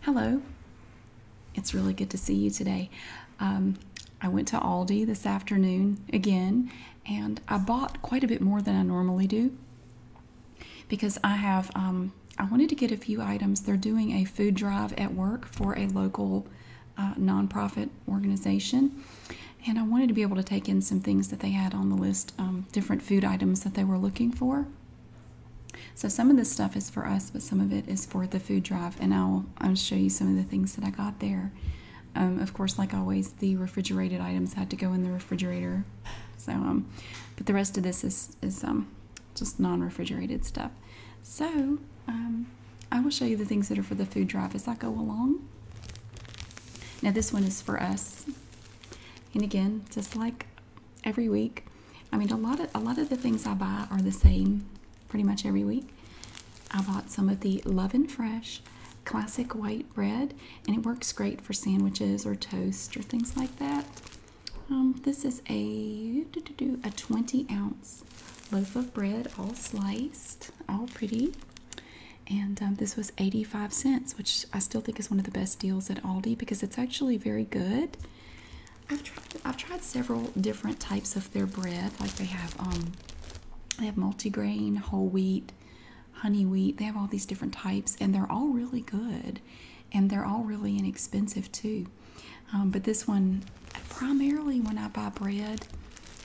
Hello, it's really good to see you today. Um, I went to Aldi this afternoon again and I bought quite a bit more than I normally do because I have, um, I wanted to get a few items. They're doing a food drive at work for a local uh, nonprofit organization and I wanted to be able to take in some things that they had on the list, um, different food items that they were looking for. So some of this stuff is for us, but some of it is for the food drive, and I'll I'll show you some of the things that I got there. Um, of course, like always, the refrigerated items had to go in the refrigerator. So, um, but the rest of this is is um, just non-refrigerated stuff. So um, I will show you the things that are for the food drive as I go along. Now this one is for us, and again, just like every week. I mean, a lot of a lot of the things I buy are the same pretty much every week. I bought some of the Love and Fresh classic white bread, and it works great for sandwiches or toast or things like that. Um, this is a a 20 ounce loaf of bread, all sliced, all pretty. And um, this was 85 cents, which I still think is one of the best deals at Aldi because it's actually very good. I've tried several different types of their bread. Like they have um, they have multigrain, whole wheat, honey wheat. They have all these different types and they're all really good and they're all really inexpensive too. Um, but this one primarily when I buy bread,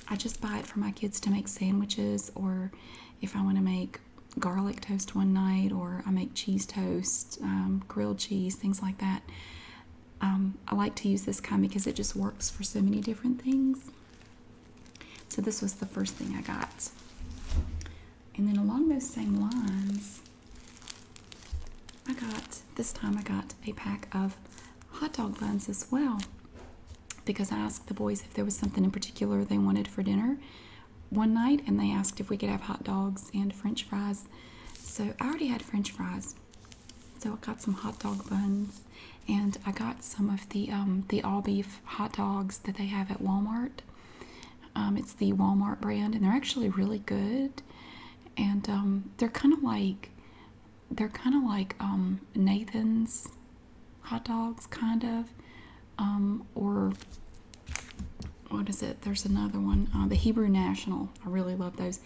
I just buy it for my kids to make sandwiches or if I want to make garlic toast one night, or I make cheese toast, um, grilled cheese, things like that. Um, I like to use this kind because it just works for so many different things. So this was the first thing I got. And then along those same lines, I got, this time I got a pack of hot dog buns as well because I asked the boys if there was something in particular they wanted for dinner one night and they asked if we could have hot dogs and french fries. So I already had french fries. So I got some hot dog buns and I got some of the um, the all beef hot dogs that they have at Walmart. Um, it's the Walmart brand and they're actually really good. And um, they're kind of like they're kind of like Nathan's hot dogs kind of um, or what is it? There's another one, uh, the Hebrew National. I really love those.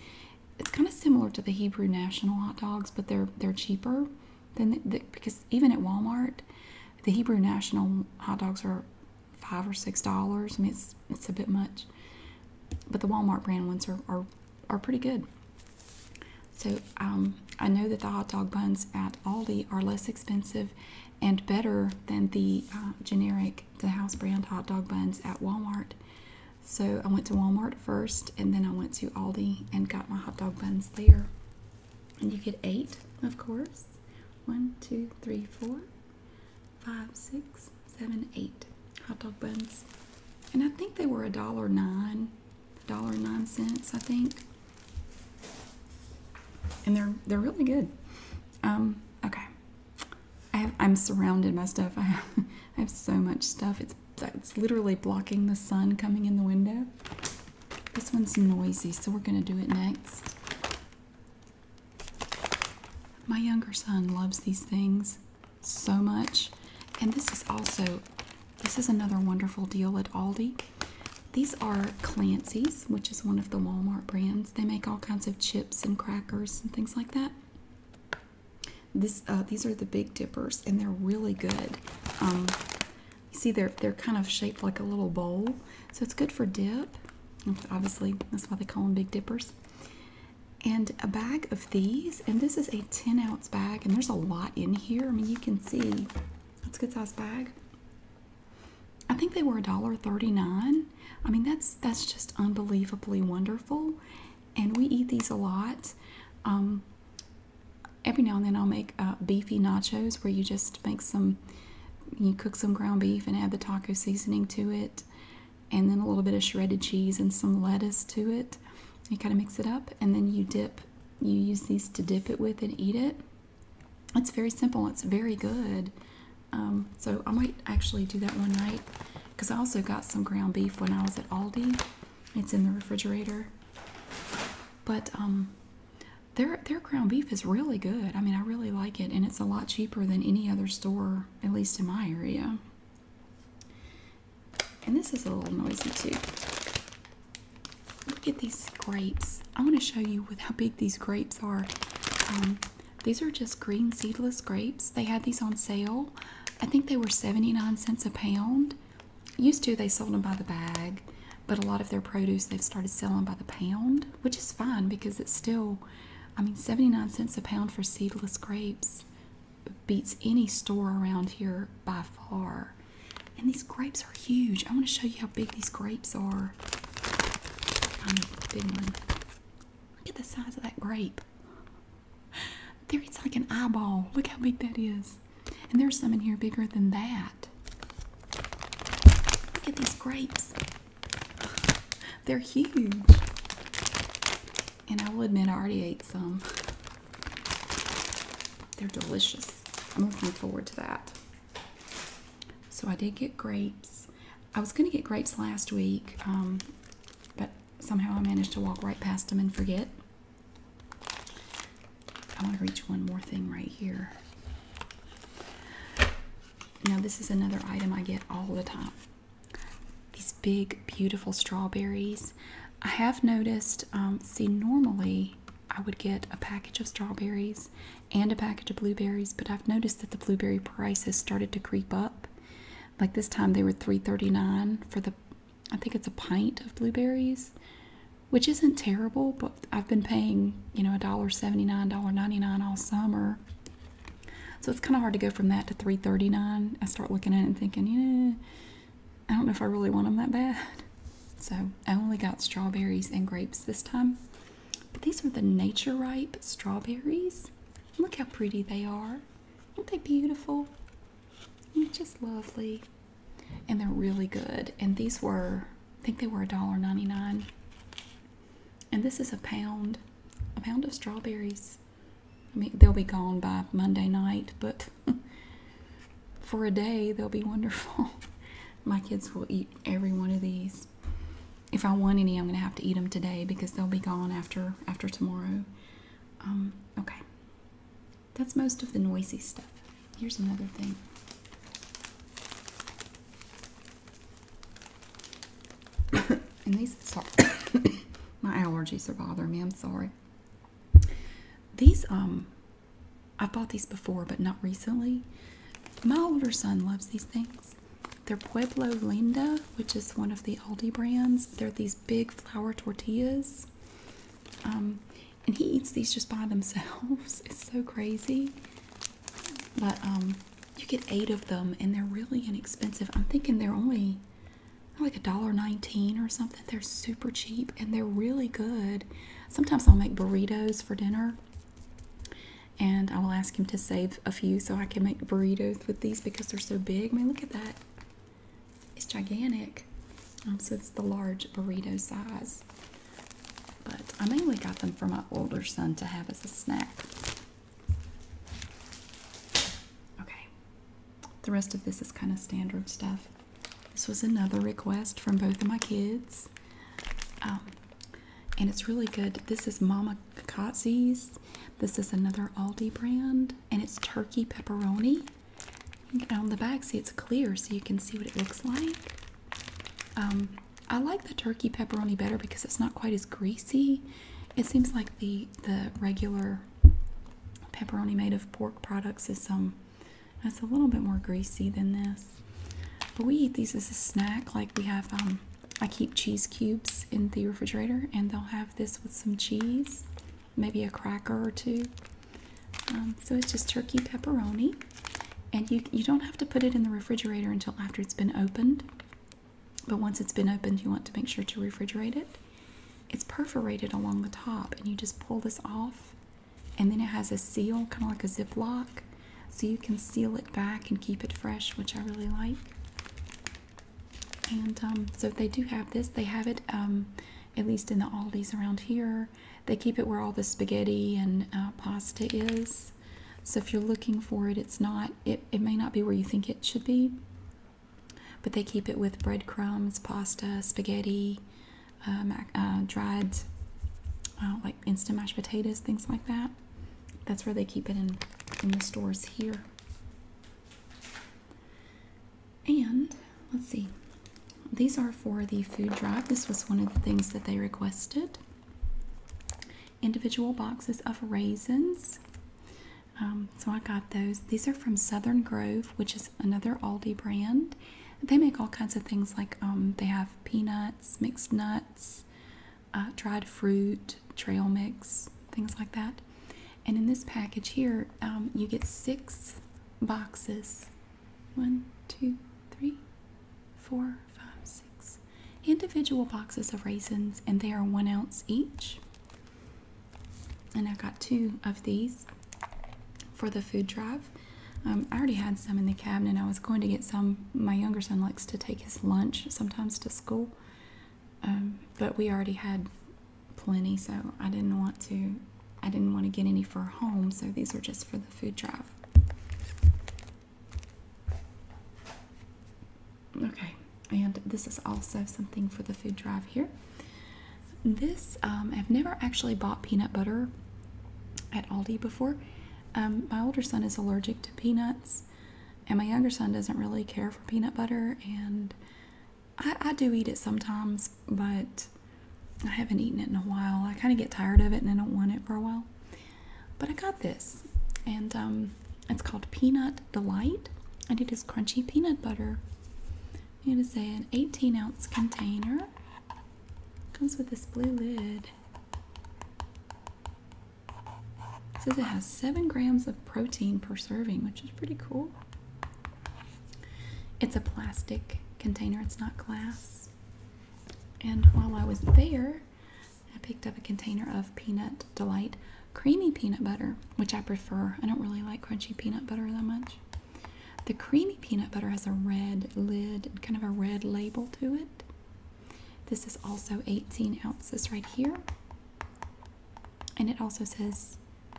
It's kind of similar to the Hebrew National hot dogs, but they're they're cheaper than because even at Walmart, the Hebrew National hot dogs are five or six dollars. I mean, it's it's a bit much, but the Walmart brand ones are are, are pretty good. So um, I know that the hot dog buns at Aldi are less expensive and better than the uh, generic, the house brand hot dog buns at Walmart. So I went to Walmart first and then I went to Aldi and got my hot dog buns there. And you get eight, of course. One, two, three, four, five, six, seven, eight hot dog buns. And I think they were a dollar nine, a dollar nine cents, I think. And they're they're really good. Um, okay. I have, I'm surrounded by stuff. I have, I have so much stuff. It's, it's literally blocking the sun coming in the window. This one's noisy, so we're going to do it next. My younger son loves these things so much. And this is also, this is another wonderful deal at Aldi. These are Clancy's which is one of the Walmart brands. They make all kinds of chips and crackers and things like that. This uh, these are the Big Dippers, and they're really good. Um, you see, they're they're kind of shaped like a little bowl, so it's good for dip. Obviously, that's why they call them Big Dippers. And a bag of these, and this is a 10 ounce bag, and there's a lot in here. I mean, you can see that's a good size bag. I think they were $1.39. I mean that's that's just unbelievably wonderful. And we eat these a lot. Um, every now and then I'll make uh, beefy nachos where you just make some, you cook some ground beef and add the taco seasoning to it, and then a little bit of shredded cheese and some lettuce to it. You kind of mix it up, and then you dip, you use these to dip it with and eat it. It's very simple. It's very good. Um, so I might actually do that one night because I also got some ground beef when I was at Aldi. It's in the refrigerator. But um, their their ground beef is really good. I mean, I really like it, and it's a lot cheaper than any other store, at least in my area. And this is a little noisy too. Look at these grapes. I want to show you with how big these grapes are. Um, these are just green seedless grapes. They had these on sale. I think they were 79 cents a pound. Used to, they sold them by the bag, but a lot of their produce they've started selling by the pound, which is fine because it's still, I mean, 79 cents a pound for seedless grapes beats any store around here by far. And these grapes are huge. I want to show you how big these grapes are. I know, big one. Look at the size of that grape. There, it's like an eyeball. Look how big that is. And there's some in here bigger than that. Look at these grapes. They're huge. And I will admit, I already ate some. They're delicious. I'm looking forward to that. So I did get grapes. I was going to get grapes last week, um, but somehow I managed to walk right past them and forget. I want to reach one more thing right here. Now this is another item I get all the time. These big, beautiful strawberries. I have noticed, um, see normally I would get a package of strawberries and a package of blueberries, but I've noticed that the blueberry price has started to creep up. Like this time they were 3.39 for the I think it's a pint of blueberries, which isn't terrible, but I've been paying, you know, $1.79, $1.99 all summer. So it's kind of hard to go from that to 3.39. I start looking at it and thinking, yeah, I don't know if I really want them that bad. So I only got strawberries and grapes this time. But these are the Nature Ripe strawberries. Look how pretty they are. Aren't they beautiful? They're just lovely. And they're really good. And these were, I think they were a dollar ninety nine. And this is a pound, a pound of strawberries. I mean, they'll be gone by Monday night, but for a day, they'll be wonderful. My kids will eat every one of these if I want any, I'm gonna have to eat them today because they'll be gone after after tomorrow. Um, okay, that's most of the noisy stuff. Here's another thing. my allergies are bothering me. I'm sorry. These um, I bought these before, but not recently. My older son loves these things. They're Pueblo Linda, which is one of the Aldi brands. They're these big flour tortillas. Um, and he eats these just by themselves. It's so crazy. But um, you get eight of them, and they're really inexpensive. I'm thinking they're only like a dollar nineteen or something. They're super cheap, and they're really good. Sometimes I'll make burritos for dinner and I will ask him to save a few so I can make burritos with these because they're so big. I mean, look at that. It's gigantic. Um, so it's the large burrito size. But I mainly got them for my older son to have as a snack. Okay. The rest of this is kind of standard stuff. This was another request from both of my kids. Um, and it's really good. This is Mama Kotze's. This is another Aldi brand, and it's turkey pepperoni. And on the back, see it's clear, so you can see what it looks like. Um, I like the turkey pepperoni better because it's not quite as greasy. It seems like the the regular pepperoni made of pork products is um that's a little bit more greasy than this. But we eat these as a snack, like we have um, I keep cheese cubes in the refrigerator, and they'll have this with some cheese, maybe a cracker or two. Um, so it's just turkey pepperoni, and you you don't have to put it in the refrigerator until after it's been opened. But once it's been opened, you want to make sure to refrigerate it. It's perforated along the top, and you just pull this off, and then it has a seal, kind of like a ziplock, so you can seal it back and keep it fresh, which I really like. And um, so, if they do have this. They have it um, at least in the Aldi's around here. They keep it where all the spaghetti and uh, pasta is. So if you're looking for it, it's not. It, it may not be where you think it should be. But they keep it with breadcrumbs, pasta, spaghetti, uh, uh dried, uh, like instant mashed potatoes, things like that. That's where they keep it in in the stores here. And let's see. These are for the food drive. This was one of the things that they requested. Individual boxes of raisins. Um, so I got those. These are from Southern Grove, which is another Aldi brand. They make all kinds of things like um, they have peanuts, mixed nuts, uh, dried fruit, trail mix, things like that. And in this package here, um, you get six boxes one, two, three, four, five, six individual boxes of raisins, and they are one ounce each. And I got two of these for the food drive. Um, I already had some in the cabinet. I was going to get some. My younger son likes to take his lunch sometimes to school, um, but we already had plenty, so I didn't want to. I didn't want to get any for home, so these are just for the food drive. Okay, and this is also something for the food drive here. This um, I've never actually bought peanut butter at Aldi before. Um, my older son is allergic to peanuts, and my younger son doesn't really care for peanut butter. And I, do eat it sometimes, but I haven't eaten it in a while. I kind of get tired of it and I don't want it for a while. But I got this, and um, it's called Peanut Delight, and it is crunchy peanut butter. It is an 18 ounce container. Comes with this blue lid. It says it has seven grams of protein per serving, which is pretty cool. It's a plastic container, it's not glass. And while I was there, I picked up a container of Peanut Delight creamy peanut butter, which I prefer. I don't really like crunchy peanut butter that much. The creamy peanut butter has a red lid kind of a red label to it. This is also 18 ounces right here. And it also says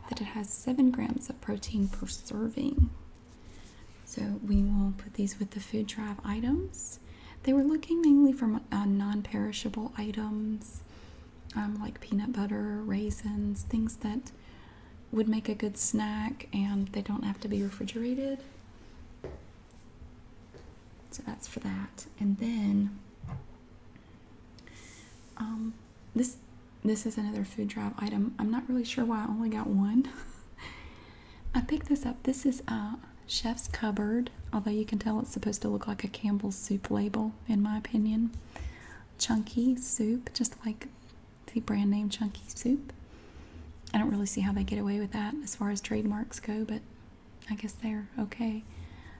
that it has 7 grams of protein per serving. So we will put these with the food drive items. They were looking mainly for uh, non perishable items um, like peanut butter, raisins, things that would make a good snack and they don't have to be refrigerated. So that's for that. And then um, this this is another food drive item. I'm not really sure why I only got one. I picked this up. This is a Chef's Cupboard, although you can tell it's supposed to look like a Campbell's soup label, in my opinion. Chunky soup, just like the brand name Chunky Soup. I don't really see how they get away with that as far as trademarks go, but I guess they're okay.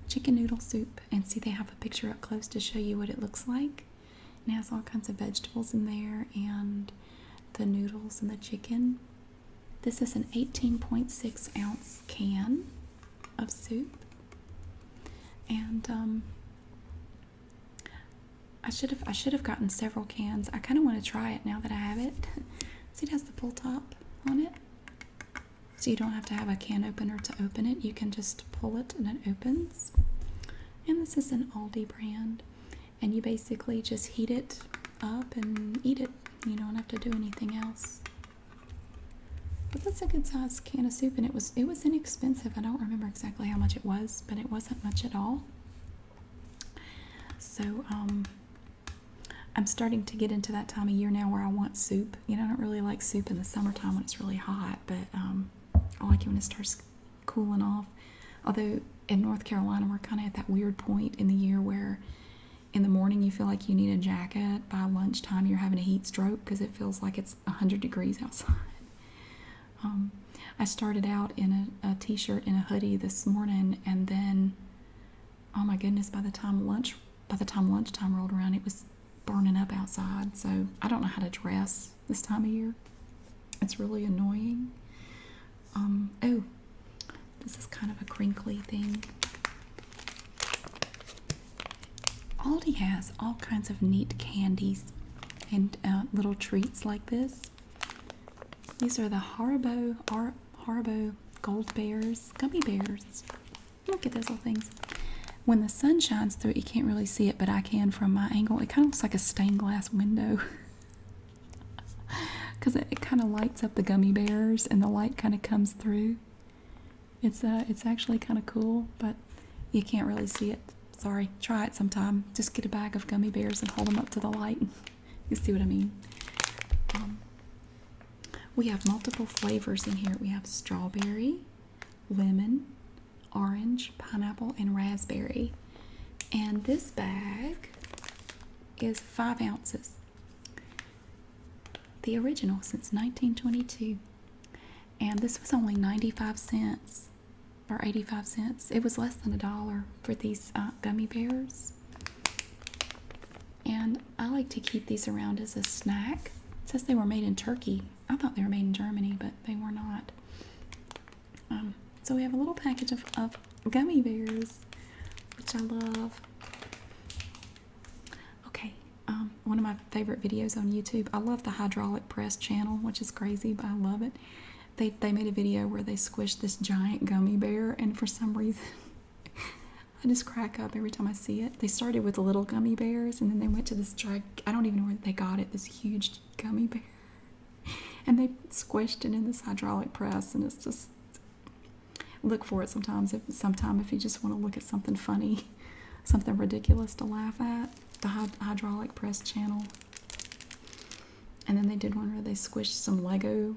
Chicken noodle soup, and see, they have a picture up close to show you what it looks like. It has all kinds of vegetables in there, and the noodles and the chicken. This is an 18.6 ounce can of soup, and um, I should have I should have gotten several cans. I kind of want to try it now that I have it. See, it has the pull top on it. So you don't have to have a can opener to open it. You can just pull it and it opens. And this is an Aldi brand. And you basically just heat it up and eat it. You don't have to do anything else. But that's a good size can of soup and it was it was inexpensive. I don't remember exactly how much it was, but it wasn't much at all. So um I'm starting to get into that time of year now where I want soup. You know, I don't really like soup in the summertime when it's really hot, but um, I like it when it starts cooling off. Although in North Carolina, we're kind of at that weird point in the year where in the morning you feel like you need a jacket, by lunchtime you're having a heat stroke because it feels like it's 100 degrees outside. Um, I started out in a shirt and a hoodie this morning, and then oh my goodness, by the time lunch by the time lunchtime rolled around, it was burning up outside. So I don't know how to dress this time of year. It's really annoying. Um, oh, this is kind of a crinkly thing. Aldi has all kinds of neat candies and uh, little treats like this. These are the Haribo Haribo Gold Bears gummy bears. Look at those little things. When the sun shines through you can't really see it, but I can from my angle. It kind of looks like a stained glass window because it, it kind of lights up the gummy bears, and the light kind of comes through. It's uh, it's actually kind of cool, but you can't really see it. Sorry. Try it sometime. Just get a bag of gummy bears and hold them up to the light. You see what I mean? Um, we have multiple flavors in here. We have strawberry, lemon, orange, pineapple, and raspberry. And this bag is five ounces. The original since 1922. And this was only 95 cents or 85 cents. It was less than a dollar for these uh, gummy bears. And I like to keep these around as a snack. It says they were made in Turkey. I thought they were made in Germany, but they were not. Um, so we have a little package of, gummy bears, which I love. Okay, um, one of my favorite videos on YouTube. I love the hydraulic press channel, which is crazy, but I love it. They they made a video where they squished this giant gummy bear, and for some reason, I just crack up every time I see it. They started with little gummy bears, and then they went to this drag. I don't even know where they got it. This huge gummy bear, and they squished it in this hydraulic press, and it's just look for it sometimes. If sometime if you just want to look at something funny, something ridiculous to laugh at, the hydraulic press channel. And then they did one where they squished some Lego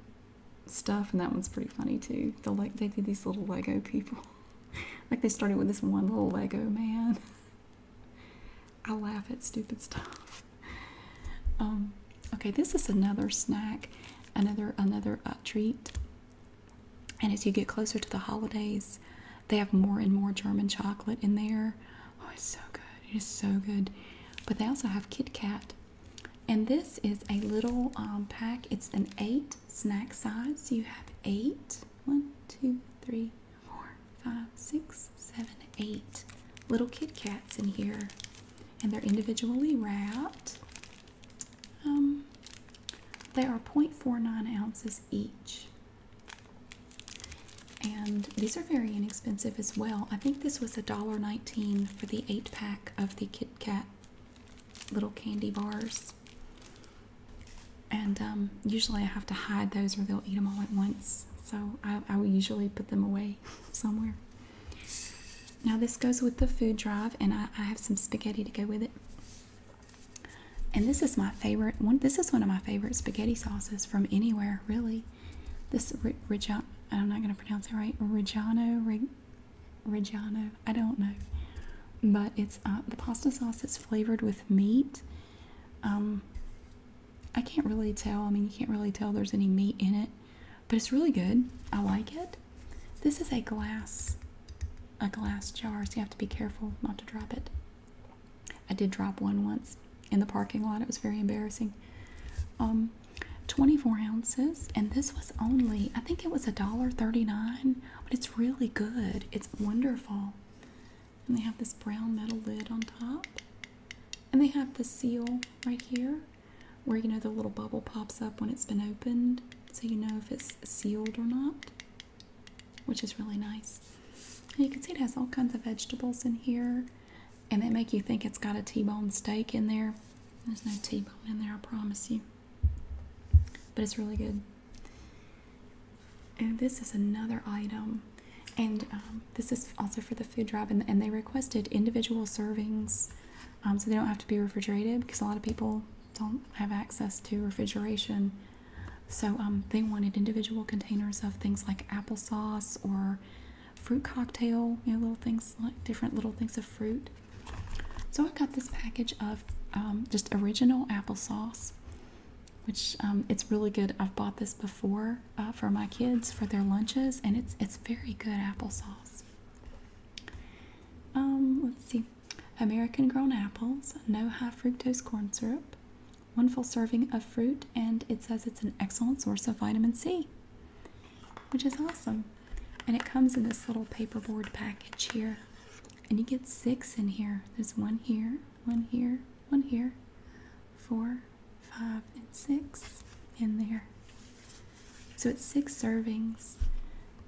stuff, and that one's pretty funny too. They like they did these little Lego people, like they started with this one little Lego man. I laugh at stupid stuff. Um, okay, this is another snack, another another uh, treat. And as you get closer to the holidays, they have more and more German chocolate in there. Oh, it's so good! It is so good. But they also have Kit Kat and this is a little um, pack. It's an eight snack size. So you have eight one, two, three, four, five, six, seven, eight little Kit Kats in here. And they're individually wrapped. Um, they are 0.49 ounces each. And these are very inexpensive as well. I think this was a dollar nineteen for the eight pack of the Kit Kat little candy bars. And um, usually I have to hide those or they'll eat them all at once. So I, will usually put them away somewhere. Now this goes with the food drive and I have some spaghetti to go with it. And this is my favorite one. This is one of my favorite spaghetti sauces from anywhere, really. This Reggiano, I'm not going to pronounce it right. Reggiano, Reggiano, I don't know. But it's uh, the pasta sauce is flavored with meat. Um, I can't really tell. I mean, you can't really tell there's any meat in it, but it's really good. I like it. This is a glass, a glass jar, so you have to be careful not to drop it. I did drop one once in the parking lot. It was very embarrassing. Um, 24 ounces, and this was only, I think it was a dollar thirty nine. but it's really good. It's wonderful. And they have this brown metal lid on top. And they have the seal right here where you know the little bubble pops up when it's been opened so you know if it's sealed or not, which is really nice. you can see it has all kinds of vegetables in here and they make you think it's got a T-bone steak in there. There's no T-bone in there, I promise you. But it's really good. And this is another item. And um, this is also for the food drive, and, they requested individual servings um, so they don't have to be refrigerated because a lot of people don't have access to refrigeration. So um, they wanted individual containers of things like applesauce or fruit cocktail, you know, little things like different little things of fruit. So I got this package of um, just original applesauce, which um, it's really good. I've bought this before uh, for my kids for their lunches, and it's it's very good applesauce. Um, let's see, American grown apples, no high fructose corn syrup, one full serving of fruit, and it says it's an excellent source of vitamin C which is awesome. And it comes in this little paperboard package here. And you get six in here. There's one here, one here, one here, four, five, and six in there. So it's six servings.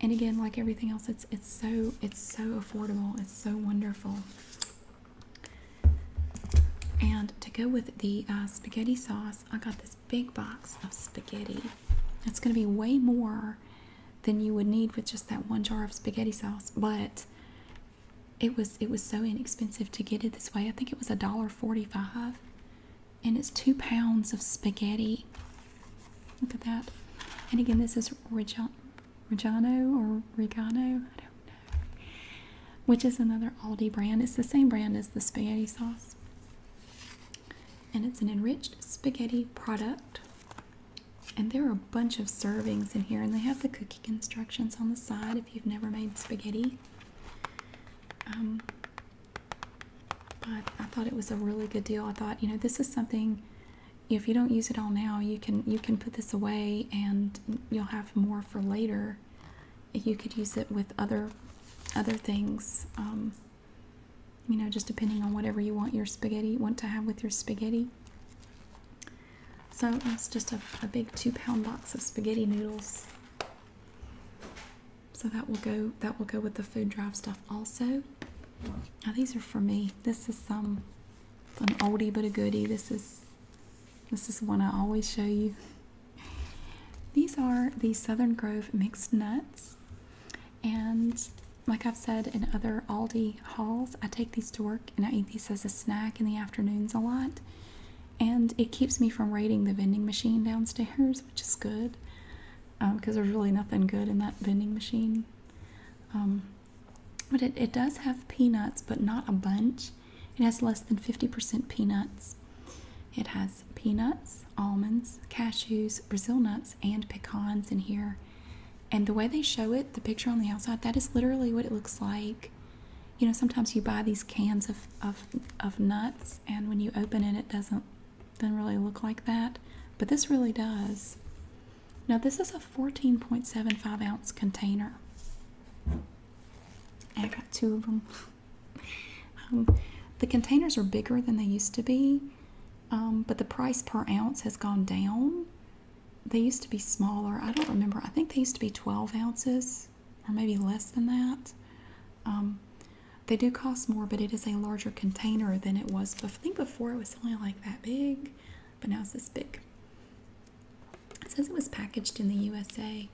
And again, like everything else, it's it's so it's so affordable. It's so wonderful. And to go with the uh, spaghetti sauce, I got this big box of spaghetti. It's going to be way more than you would need with just that one jar of spaghetti sauce, but it was it was so inexpensive to get it this way. I think it was a dollar forty-five, and it's two pounds of spaghetti. Look at that. And again, this is Reggiano or Regano. I don't know which is another Aldi brand. It's the same brand as the spaghetti sauce. And it's an enriched spaghetti product. And there are a bunch of servings in here, and they have the cooking instructions on the side if you've never made spaghetti. Um, but I thought it was a really good deal. I thought, you know, this is something. If you don't use it all now, you can you can put this away, and you'll have more for later you could use it with other other things um, you know just depending on whatever you want your spaghetti want to have with your spaghetti so that's just a, a big two pound box of spaghetti noodles so that will go that will go with the food drive stuff also now these are for me this is some an oldie but a goodie this is this is one i always show you these are the Southern Grove mixed nuts, and like I've said in other Aldi hauls, I take these to work and I eat these as a snack in the afternoons a lot, and it keeps me from raiding the vending machine downstairs, which is good because um, there's really nothing good in that vending machine. Um, but it does have peanuts, but not a bunch. It has less than 50% peanuts. It has peanuts, almonds, cashews, Brazil nuts, and pecans in here. And the way they show it, the picture on the outside, that is literally what it looks like. You know, sometimes you buy these cans of, of, of nuts, and when you open it, it doesn't, doesn't really look like that. But this really does. Now, this is a 14.75 ounce container. I got two of them. Um, the containers are bigger than they used to be, um, but the price per ounce has gone down. They used to be smaller. I don't remember. I think they used to be 12 ounces or maybe less than that. Um, they do cost more, but it is a larger container than it was. I think before it was only like that big, but now it's this big. It says it was packaged in the USA.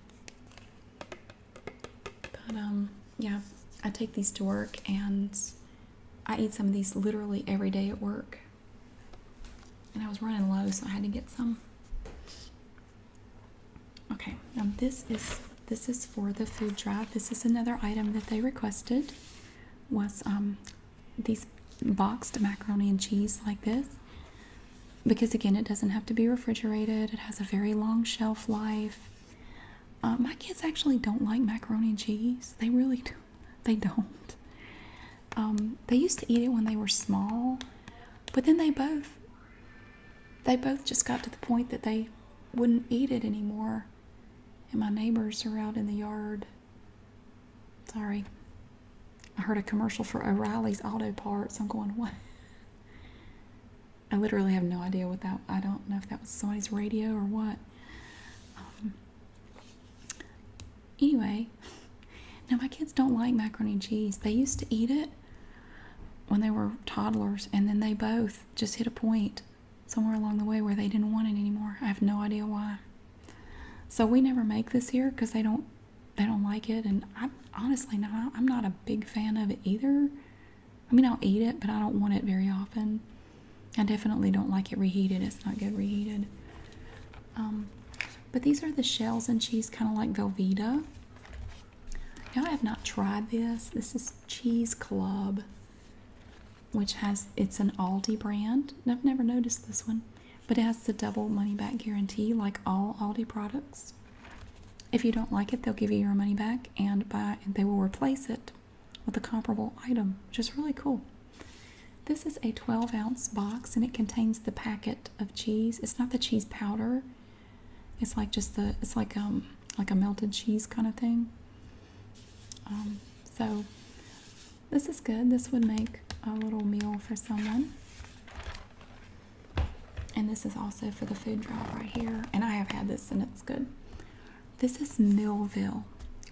But um, yeah, I take these to work and I eat some of these literally every day at work. And I was running low, so I had to get some. Okay, now this is this is for the food drive. This is another item that they requested was um, these boxed macaroni and cheese like this because again it doesn't have to be refrigerated it has a very long shelf life uh, my kids actually don't like macaroni and cheese they really do they don't um, they used to eat it when they were small but then they both they both just got to the point that they wouldn't eat it anymore and my neighbors are out in the yard sorry i heard a commercial for o'reilly's auto parts i'm going what I literally have no idea what that. I don't know if that was somebody's radio or what. Um, anyway, now my kids don't like macaroni and cheese. They used to eat it when they were toddlers, and then they both just hit a point somewhere along the way where they didn't want it anymore. I have no idea why. So we never make this here because they don't they don't like it, and I honestly not. I'm not a big fan of it either. I mean, I'll eat it, but I don't want it very often. I definitely don't like it reheated. It's not good reheated. Um, but these are the shells and cheese, kind of like Velveeta. Now I have not tried this. This is Cheese Club, which has it's an Aldi brand. And I've never noticed this one, but it has the double money back guarantee, like all Aldi products. If you don't like it, they'll give you your money back and they will replace it with a comparable item, which is really cool. This is a 12 ounce box and it contains the packet of cheese. It's not the cheese powder. It's like just the it's like um like a melted cheese kind of thing. Um, so this is good. This would make a little meal for someone. And this is also for the food drive right here. And I have had this and it's good. This is Millville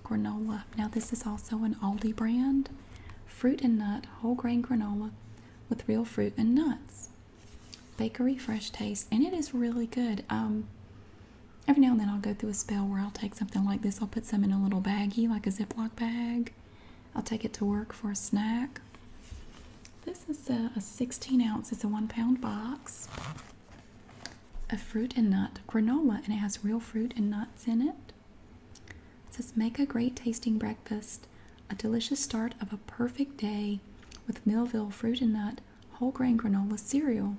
granola. Now, this is also an Aldi brand. Fruit and nut, whole grain granola with real fruit and nuts. Bakery fresh taste. And it is really good. Um, every now and then I'll go through a spell where I'll take something like this. I'll put some in a little baggie, like a Ziploc bag. I'll take it to work for a snack. This is a, 16 ounce, it's a one pound box of fruit and nut granola, and it has real fruit and nuts in it. It says, Make a great tasting breakfast, a delicious start of a perfect day with Millville Fruit and Nut Whole Grain Granola Cereal.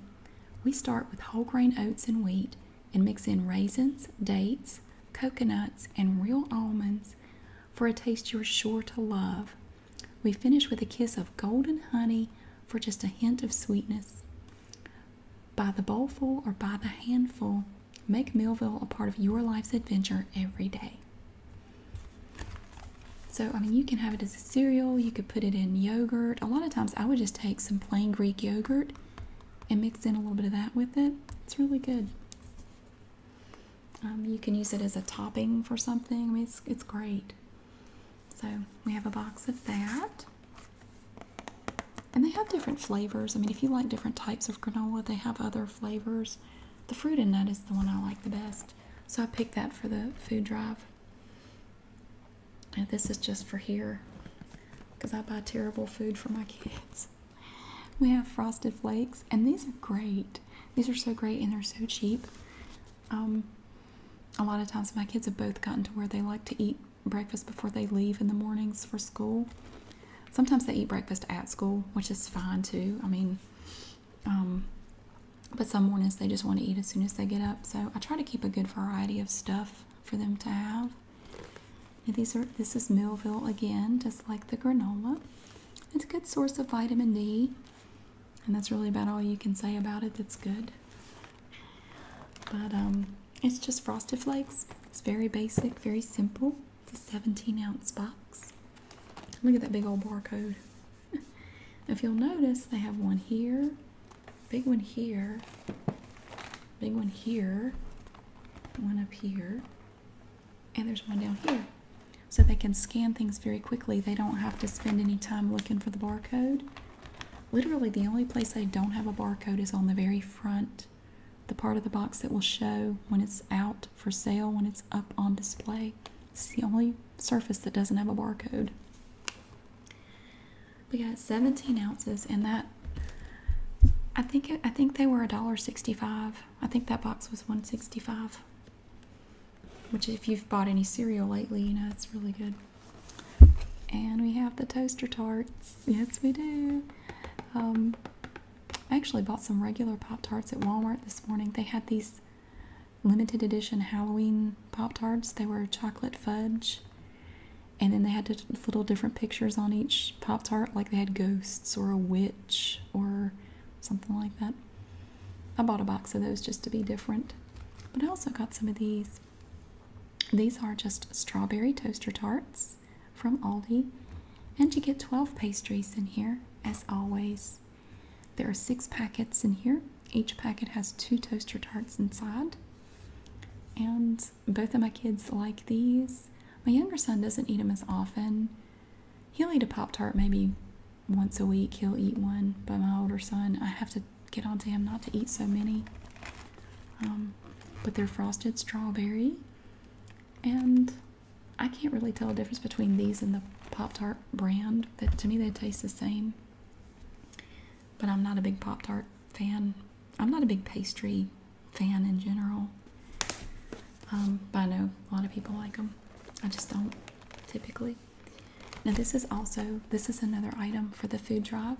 We start with whole grain oats and wheat and mix in raisins, dates, coconuts, and real almonds for a taste you're sure to love. We finish with a kiss of golden honey for just a hint of sweetness. By the bowlful or by the handful, make Millville a part of your life's adventure every day. So, I mean, you can have it as a cereal, you could put it in yogurt. A lot of times, I would just take some plain Greek yogurt and mix in a little bit of that with it. It's really good. Um, you can use it as a topping for something. I mean, it's, it's great. So we have a box of that. And they have different flavors. I mean, if you like different types of granola, they have other flavors. The fruit and nut is the one I like the best. So I picked that for the food drive. And this is just for here because I buy terrible food for my kids. We have frosted flakes, and these are great. These are so great and they're so cheap. Um, a lot of times, my kids have both gotten to where they like to eat breakfast before they leave in the mornings for school. Sometimes they eat breakfast at school, which is fine too. I mean, um, but some mornings they just want to eat as soon as they get up. So I try to keep a good variety of stuff for them to have. these are this is Millville again, just like the granola. It's a good source of vitamin D, and that's really about all you can say about it that's good. But um, it's just Frosted Flakes. It's very basic, very simple. It's a 17 ounce box. Look at that big old barcode. if you'll notice, they have one here, big one here, big one here, one up here, and there's one down here. So they can scan things very quickly. They don't have to spend any time looking for the barcode. Literally, the only place they don't have a barcode is on the very front, the part of the box that will show when it's out for sale, when it's up on display. It's the only surface that doesn't have a barcode. We got 17 ounces, and that I think I think they were $1.65. I think that box was 165. Which, if you've bought any cereal lately, you know it's really good. And we have the toaster tarts. Yes, we do. Um, I actually bought some regular Pop Tarts at Walmart this morning. They had these limited edition Halloween Pop Tarts. They were chocolate fudge. And then they had little different pictures on each Pop Tart, like they had ghosts or a witch or something like that. I bought a box of those just to be different. But I also got some of these. These are just strawberry toaster tarts from Aldi. And you get 12 pastries in here, as always. There are six packets in here. Each packet has two toaster tarts inside. And both of my kids like these. My younger son doesn't eat them as often. He'll eat a Pop Tart maybe once a week. He'll eat one, but my older son, I have to get onto him not to eat so many. Um, but they're frosted strawberry, and I can't really tell the difference between these and the Pop Tart brand. That to me they taste the same. But I'm not a big Pop Tart fan. I'm not a big pastry fan in general. Um, but I know a lot of people like them. I just don't typically. Now this is also this is another item for the food drive.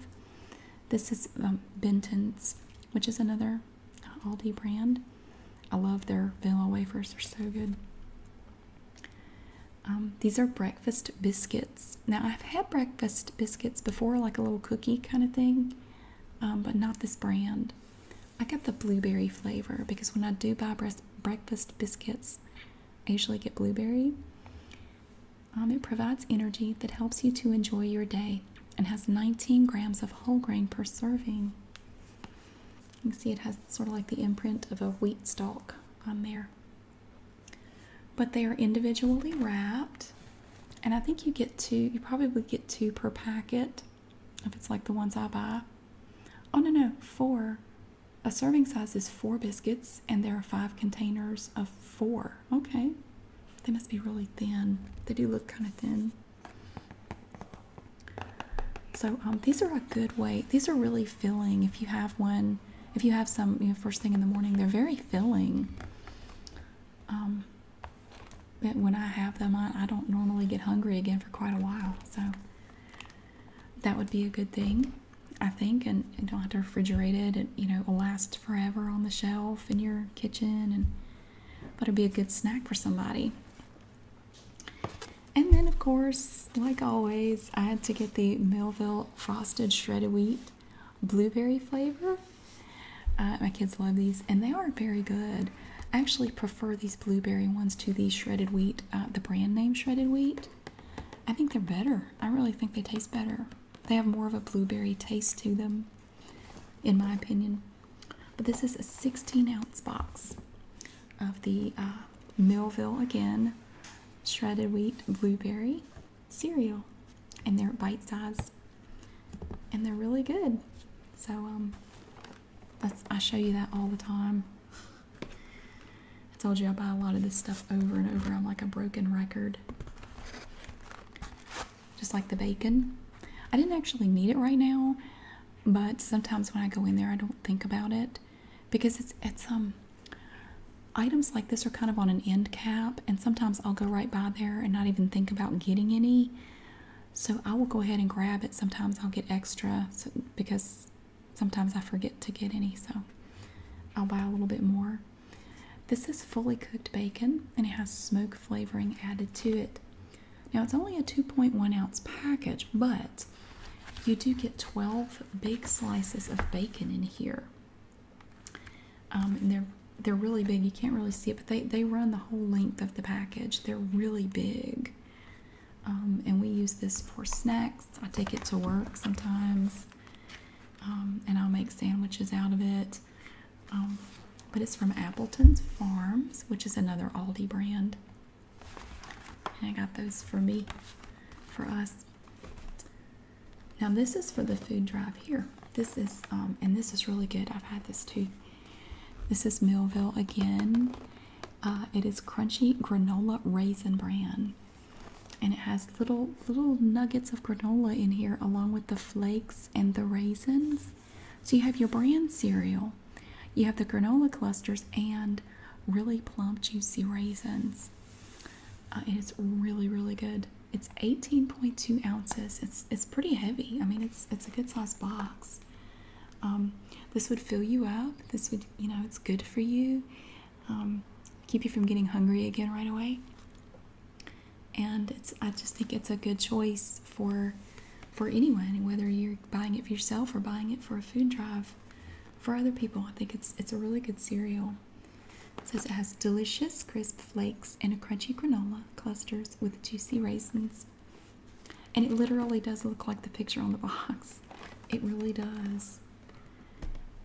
This is um, Benton's, which is another Aldi brand. I love their vanilla wafers; they're so good. Um, these are breakfast biscuits. Now I've had breakfast biscuits before, like a little cookie kind of thing, but not this brand. I got the blueberry flavor because when I do buy breakfast biscuits, I usually get blueberry. Um, it provides energy that helps you to enjoy your day and has 19 grams of whole grain per serving. You can see it has sort of like the imprint of a wheat stalk on there. But they are individually wrapped, and I think you get two, you probably get two per packet if it's like the ones I buy. Oh, no, no, four. A serving size is four biscuits, and there are five containers of four. Okay. They must be really thin. They do look kind of thin. So um, these are a good way. These are really filling. If you have one, if you have some, you know, first thing in the morning, they're very filling. Um, but when I have them, on, I don't normally get hungry again for quite a while. So that would be a good thing, I think. And, and don't have to refrigerate it. It you know it will last forever on the shelf in your kitchen, and but it'd be a good snack for somebody. And then, of course, like always, I had to get the Melville Frosted Shredded Wheat Blueberry flavor. Uh, my kids love these, and they are very good. I actually prefer these blueberry ones to the shredded wheat, uh, the brand name shredded wheat. I think they're better. I really think they taste better. They have more of a blueberry taste to them, in my opinion. But this is a 16 ounce box of the uh, Millville again shredded wheat blueberry cereal, and they're bite size, and they're really good. So um, I show you that all the time. I told you I buy a lot of this stuff over and over. I'm like a broken record. Just like the bacon. I didn't actually need it right now, but sometimes when I go in there I don't think about it because it's it's um items like this are kind of on an end cap and sometimes I'll go right by there and not even think about getting any so I will go ahead and grab it. Sometimes I'll get extra because sometimes I forget to get any. So I'll buy a little bit more. This is fully cooked bacon and it has smoke flavoring added to it. Now it's only a 2.1 ounce package, but you do get 12 big slices of bacon in here. Um, they're they're really big. You can't really see it, but they, they run the whole length of the package. They're really big. Um, and we use this for snacks. I take it to work sometimes, um, and I'll make sandwiches out of it. Um, but it's from Appleton's Farms, which is another Aldi brand. And I got those for me, for us. Now this is for the food drive here. This is, and this is really good. I've had this too. This is Millville again. Uh, it is crunchy granola raisin bran, and it has little little nuggets of granola in here, along with the flakes and the raisins. So you have your bran cereal, you have the granola clusters, and really plump, juicy raisins. and uh, it's really, really good. It's 18.2 ounces. It's it's pretty heavy. I mean, it's it's a good sized box. Um, this would fill you up. This would, you know, it's good for you. Um, keep you from getting hungry again right away. And it's, I just think it's a good choice for for anyone, whether you're buying it for yourself or buying it for a food drive for other people. I think it's it's a really good cereal. says it has delicious crisp flakes and a crunchy granola clusters with juicy raisins and it literally does look like the picture on the box. It really does.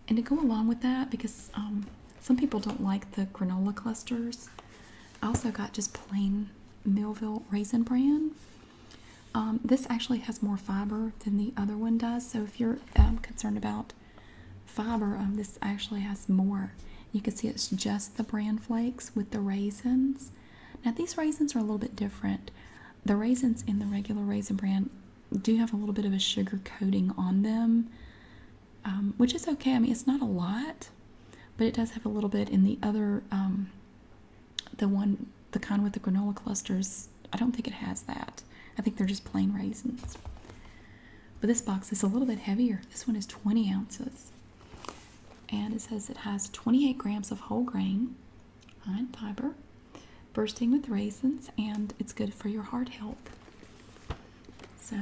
And to go along with that, because um, some people don't like the granola clusters, I also got just plain Millville Raisin Bran. Um, this actually has more fiber than the other one does, so if you're um, concerned about fiber, this actually has more. You can see it's just the bran flakes with the raisins. Now, these raisins are a little bit different. The raisins in the regular raisin brand do have a little bit of a sugar coating on them, um, which is okay. I mean, it's not a lot, but it does have a little bit. In the other, um, the one, the kind with the granola clusters, I don't think it has that. I think they're just plain raisins. But this box is a little bit heavier. This one is 20 ounces. And it says it has 28 grams of whole grain, high fiber, bursting with raisins, and it's good for your heart health. So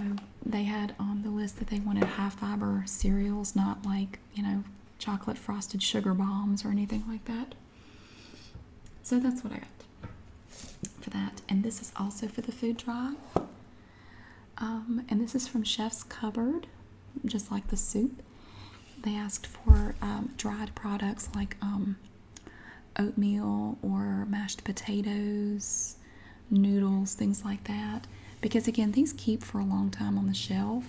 they had on the list that they wanted high fiber cereals, not like, you know, chocolate frosted sugar bombs or anything like that. So that's what I got for that. And this is also for the food drive. Um, and this is from Chef's Cupboard just like the soup. They asked for um, dried products like um, oatmeal or mashed potatoes, noodles, things like that. Because again, these keep for a long time on the shelf.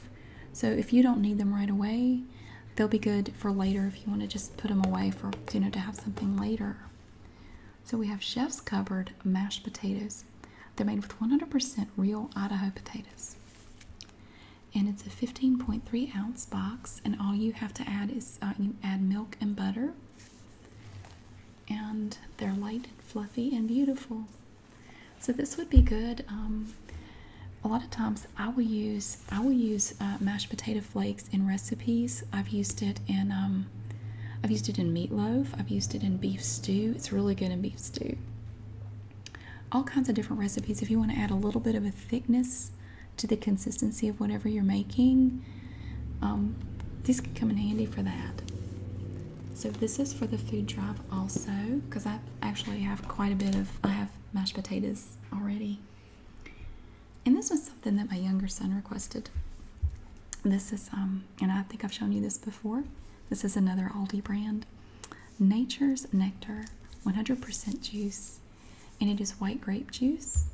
So if you don't need them right away, they'll be good for later if you want to just put them away for, you know, to have something later. So we have Chef's Cupboard mashed potatoes. They're made with 100% real Idaho potatoes and it's a 15.3 ounce box and all you have to add is uh, you add milk and butter and they're light and fluffy and beautiful so this would be good um, a lot of times i will use i will use uh, mashed potato flakes in recipes i've used it in um, i've used it in meatloaf i've used it in beef stew it's really good in beef stew all kinds of different recipes if you want to add a little bit of a thickness to the consistency of whatever you're making um, these can come in handy for that so this is for the food drive also because i actually have quite a bit of i have mashed potatoes already and this was something that my younger son requested this is um and i think i've shown you this before this is another aldi brand Nature's Nectar 100% juice, and it is white grape juice.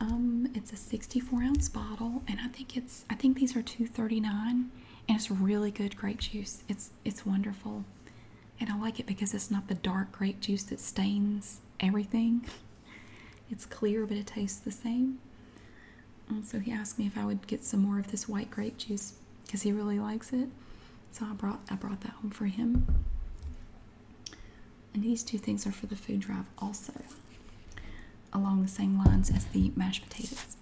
Um, it's a 64 ounce bottle, and I think it's I think these are 2.39, and it's really good grape juice. It's it's wonderful, and I like it because it's not the dark grape juice that stains everything. It's clear, but it tastes the same. So he asked me if I would get some more of this white grape juice because he really likes it. So I brought I brought that home for him. And these two things are for the food drive also, along the same lines as the mashed potatoes.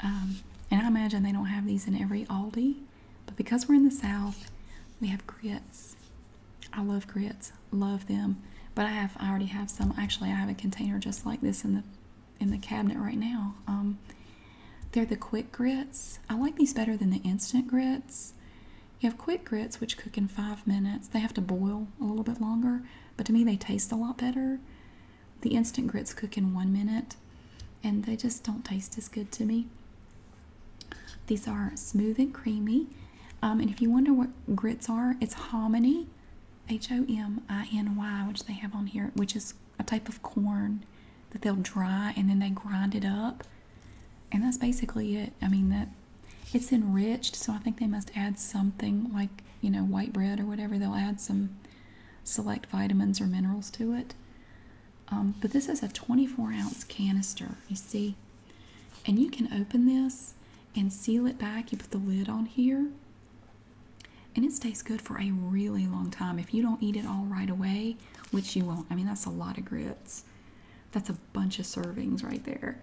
Um, and I imagine they don't have these in every Aldi, but because we're in the South, we have grits. I love grits, love them. But I have I already have some. Actually, I have a container just like this in the in the cabinet right now. Um, they're the quick grits. I like these better than the instant grits. You have quick grits, which cook in five minutes. They have to boil a little bit longer, but to me, they taste a lot better. The instant grits cook in one minute, and they just don't taste as good to me. These are smooth and creamy. Um, and if you wonder what grits are, it's hominy, H O M I N Y, which they have on here, which is a type of corn that they'll dry and then they grind it up. And that's basically it. I mean, that it's enriched, so I think they must add something like, you know, white bread or whatever. They'll add some select vitamins or minerals to it. Um, but this is a 24 ounce canister, you see. And you can open this and seal it back. You put the lid on here and it stays good for a really long time. If you don't eat it all right away, which you won't, I mean, that's a lot of grits. That's a bunch of servings right there.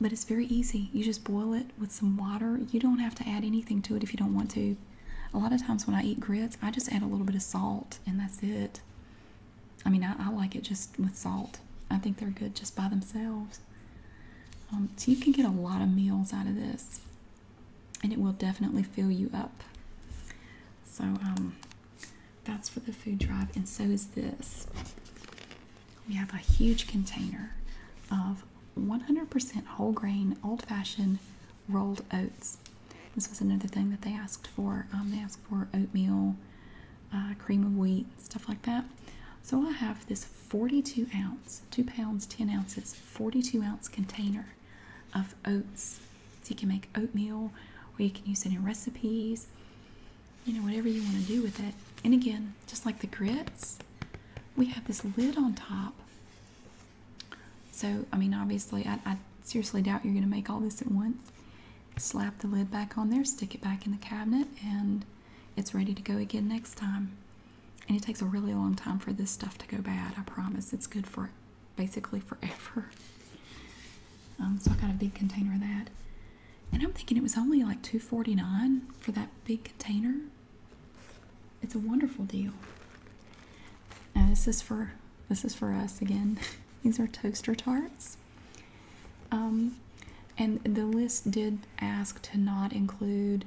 But it's very easy. You just boil it with some water. You don't have to add anything to it if you don't want to. A lot of times when I eat grits, I just add a little bit of salt and that's it. I mean, I, like it just with salt. I think they're good just by themselves. Um, so you can get a lot of meals out of this and it will definitely fill you up. So um, that's for the food drive, and so is this. We have a huge container of 100% whole grain, old fashioned rolled oats. This was another thing that they asked for. Um, they asked for oatmeal, uh, cream of wheat, stuff like that. So I have this 42 ounce, 2 pounds, 10 ounces 42 ounce container of oats. So you can make oatmeal or you can use it in recipes, you know, whatever you want to do with it. And again, just like the grits, we have this lid on top. So, I mean, obviously, I, I seriously doubt you're going to make all this at once. Slap the lid back on there, stick it back in the cabinet, and it's ready to go again next time. And it takes a really long time for this stuff to go bad, I promise. It's good for basically forever. Um, so I got a big container of that. And I'm thinking it was only like $2.49 for that big container. It's a wonderful deal. Now this is for this is for us again. These are toaster tarts. Um, and the list did ask to not include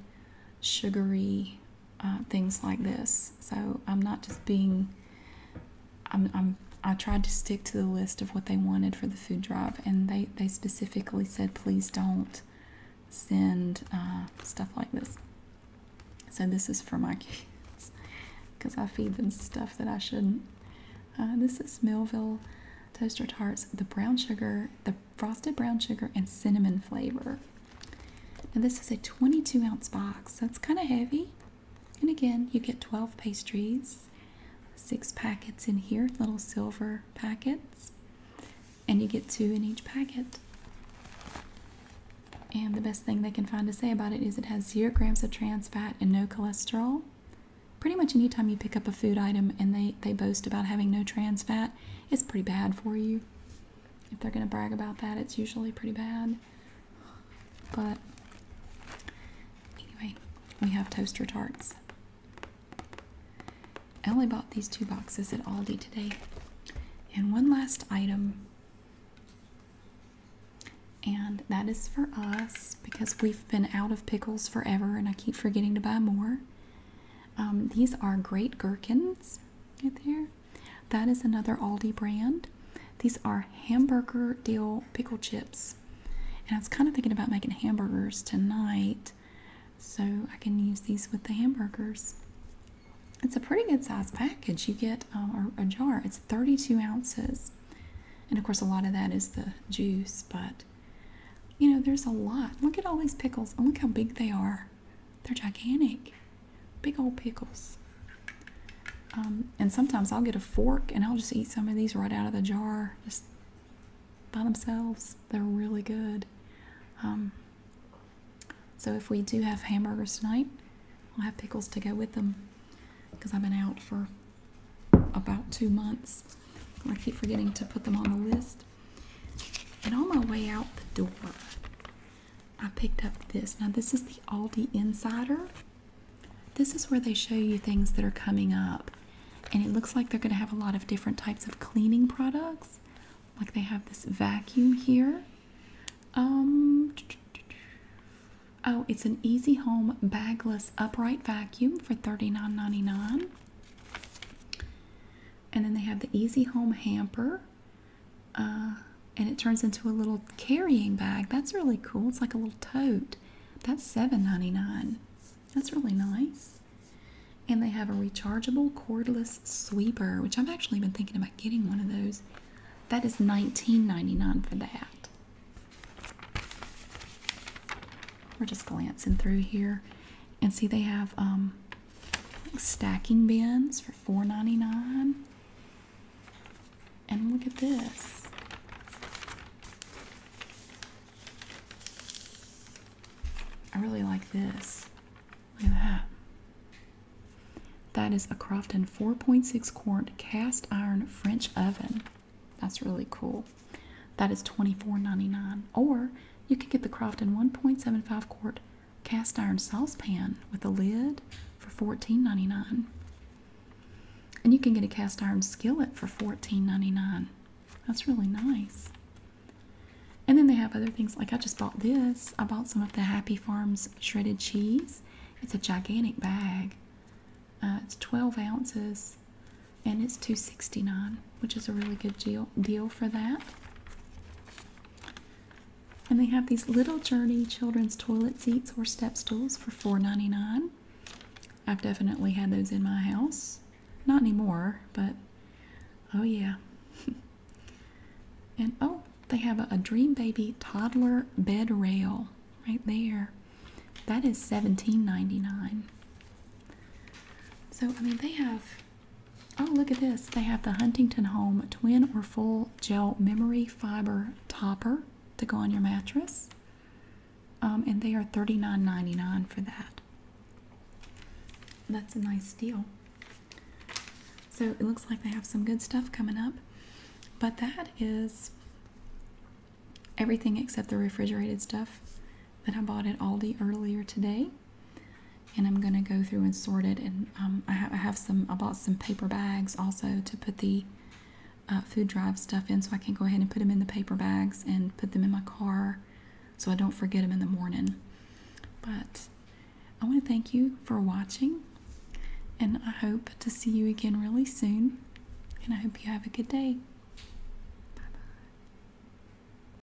sugary uh, things like this. So I'm not just being. I'm, I'm. I tried to stick to the list of what they wanted for the food drive, and they they specifically said please don't send uh, stuff like this. So this is for my kids because I feed them stuff that I shouldn't. Uh, this is Melville toaster tarts. The brown sugar, the frosted brown sugar, and cinnamon flavor. Now, this is a 22 ounce box, so it's kind of heavy. And again, you get 12 pastries, six packets in here, little silver packets, and you get two in each packet. And the best thing they can find to say about it is it has zero grams of trans fat and no cholesterol. Pretty much anytime you pick up a food item and they, they boast about having no trans fat, it's pretty bad for you. If they're going to brag about that, it's usually pretty bad. But anyway, we have toaster tarts. I only bought these two boxes at Aldi today. And one last item. And that is for us because we've been out of pickles forever and I keep forgetting to buy more. Um, these are great gherkins right there. That is another Aldi brand. These are hamburger dill pickle chips. And I was kind of thinking about making hamburgers tonight so I can use these with the hamburgers. It's a pretty good size package. You get um, a jar, it's 32 ounces. And of course, a lot of that is the juice, but you know, there's a lot. Look at all these pickles and look how big they are. They're gigantic, big old pickles. Um, and sometimes I'll get a fork and I'll just eat some of these right out of the jar, just by themselves. They're really good. Um, so if we do have hamburgers tonight, I'll have pickles to go with them because I've been out for about two months. I keep forgetting to put them on the list. And on my way out the door, I picked up this. Now, this is the Aldi Insider. This is where they show you things that are coming up. And it looks like they're going to have a lot of different types of cleaning products. Like they have this vacuum here. Um, oh, it's an Easy Home bagless upright vacuum for $39.99 and then they have the easy home hamper uh, and it turns into a little carrying bag that's really cool it's like a little tote that's seven ninety nine. that's really nice and they have a rechargeable cordless sweeper which i've actually been thinking about getting one of those thats nineteen ninety nine for that we're just glancing through here and see they have um, stacking bins for $4.99. And look at this. I really like this. Look at that. That is a Crofton 4.6 quart cast iron French oven. That's really cool. That is $24.99. Or you can get the Crofton 1.75 quart cast iron saucepan with a lid for $14.99. And you can get a cast iron skillet for $14.99. That's really nice. And then they have other things like I just bought this. I bought some of the Happy Farms shredded cheese. It's a gigantic bag. Uh, it's 12 ounces and it's $2.69 which is a really good deal deal for that. And they have these little Journey children's toilet seats or step stools for $4.99. I've definitely had those in my house. Not anymore, but oh yeah. and oh, they have a, a Dream Baby toddler bed rail right there. That is $17.99. So, I mean, they have Oh, look at this. They have the Huntington Home twin or full gel memory fiber topper to go on your mattress. Um, and they are $39.99 for that. That's a nice deal. So it looks like they have some good stuff coming up. But that is everything except the refrigerated stuff that I bought at Aldi earlier today. And I'm gonna go through and sort it. And um, I, have, some, I bought some paper bags also to put the uh, food drive stuff in so I can go ahead and put them in the paper bags and put them in my car so I don't forget them in the morning. But I wanna thank you for watching and I hope to see you again really soon. And I hope you have a good day. Bye bye.